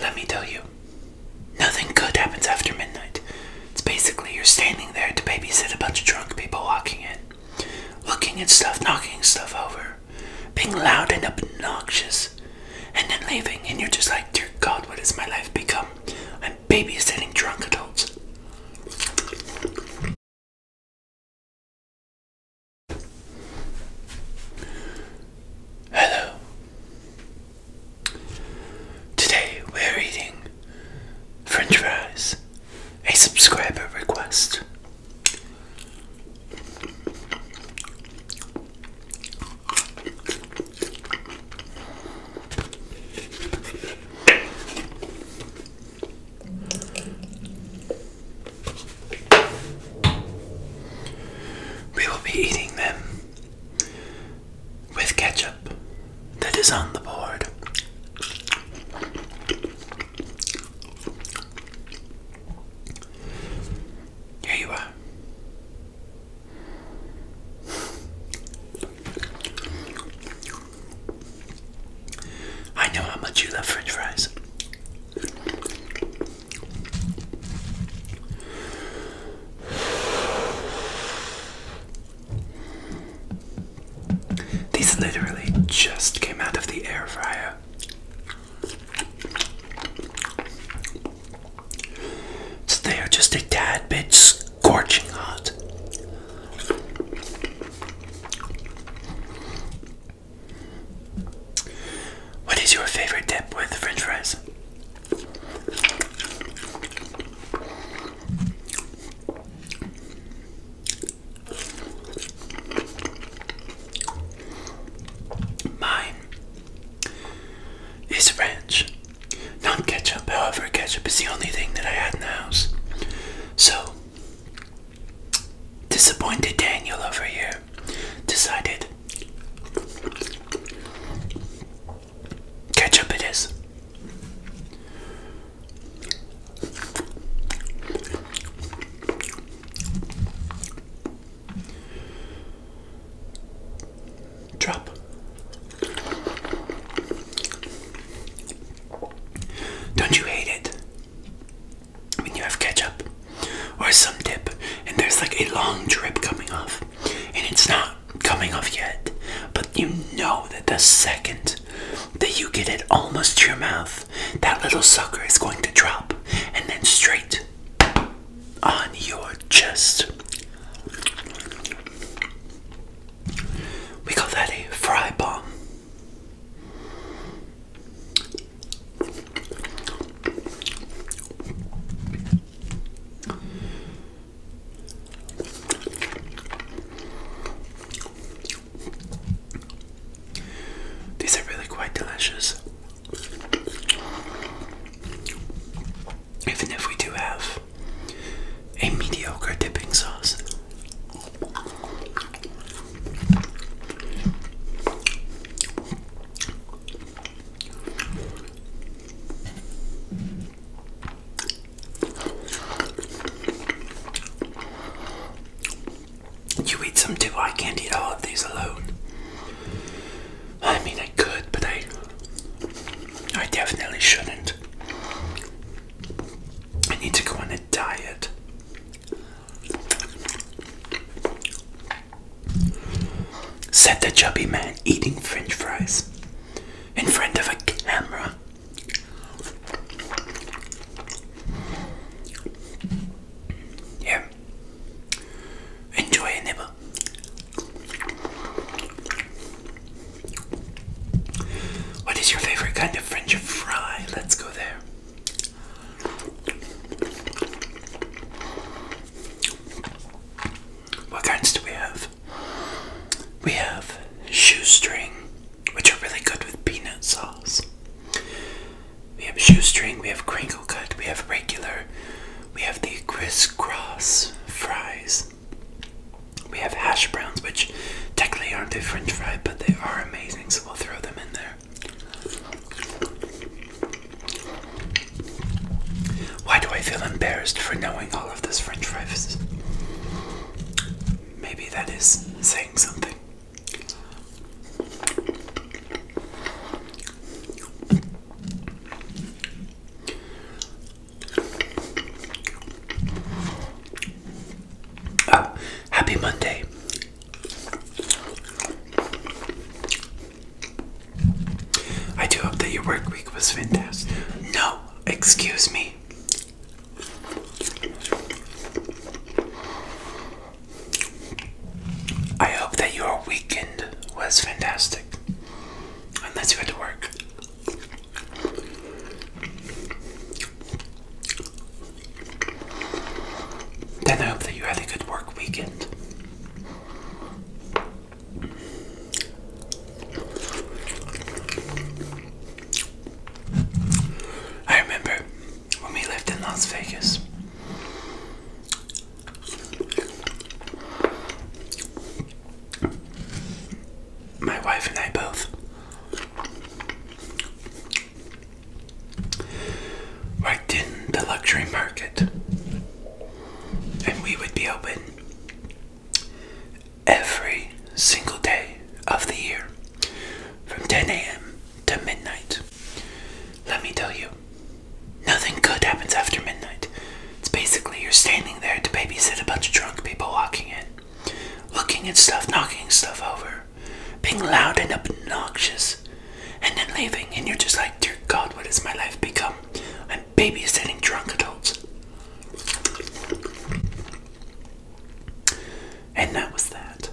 Let me tell you, nothing good happens after midnight. It's basically you're standing there to babysit a bunch of drunk people walking in, looking at stuff, knocking stuff over, being loud and obnoxious, and then leaving, and you're just like, dear God, what has my life become? I'm babysitting drunk adults. Hello. Today we're eating French fries, a subscriber request. We will be eating them with ketchup that is on the board. Here you are. I know how much you love french fries. These literally just came out of the air fryer. So they are just a tad bit scorching hot. What is your favorite dip with french fries? Mine is ranch, not ketchup. However, ketchup is the only thing that I had in the house. So, disappointed Daniel over here decided Catch up, it is. Drop. Don't you hate it? When you have ketchup or some dip and there's like a long drip coming off and it's not coming off yet, but you know that the second that you get it almost to your mouth, that little sucker is going to drop and then straight on your chest. We call that a fry bomb. These are really quite delicious. Even if we do have a mediocre dipping sauce. You eat some too, I can't eat all of these alone. I mean, I I could, but I I definitely shouldn't. I need to go on a diet. Said the chubby man eating french fries in front of a camera. Yeah. Enjoy a nibble. What is your favorite kind of French fry? Let's go there. What kinds do we have? We have shoestring, which are really good with peanut sauce. We have shoestring, we have crinkle cut, we have regular we have the crisscross fries. We have hash browns, which technically aren't a french fry, but they are amazing, so we'll throw them in there. Why do I feel embarrassed for knowing all of this french fries? Maybe that is saying something. Ah, happy Monday. I do hope that your work week was fantastic. No, excuse me. I hope that your weekend was fantastic. Unless you had to work. Then I hope that you had a good work weekend. I remember when we lived in Las Vegas. My wife and I both worked in the luxury market, and we would be open every single day of the year from 10 a.m to midnight. Let me tell you, nothing good happens after midnight. It's basically you're standing there to babysit a bunch of drunk people walking in, looking at stuff, knocking stuff over, being loud and obnoxious, and then leaving, and you're just like, dear God, what has my life become? I'm babysitting drunk adults. And that was that.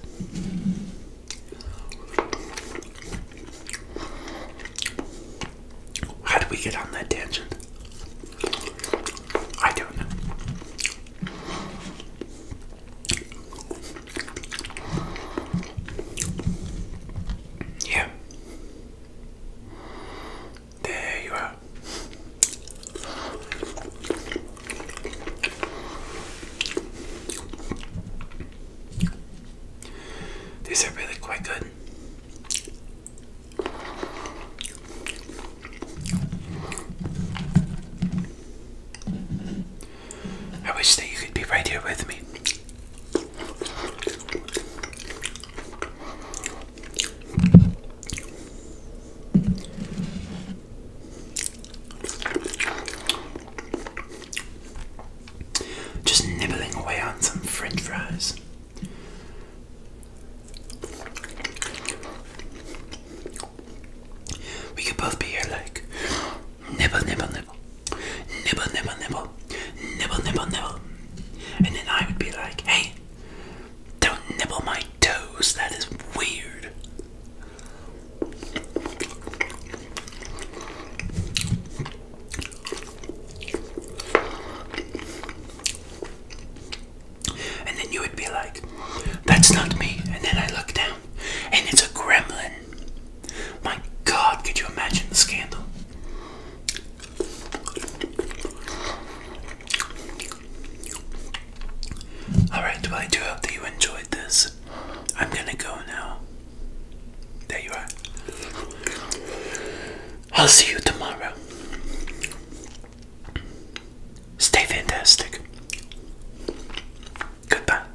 How did we get on that tangent? I don't know. Yeah. There you are. These are really quite good. I wish that you could be right here with me. Just nibbling away on some french fries. We could both be here like nibble, nibble, nibble, nibble, nibble, nibble, nibble, nibble, nibble. And then I would be like, hey, don't nibble my toes, that is weird. And then you would be like, that's not me. And then I look down, and it's a gremlin. My God, could you imagine the scandal? Alright, well, I do hope that you enjoyed this. I'm gonna go now. There you are. I'll see you tomorrow. Stay fantastic. Goodbye.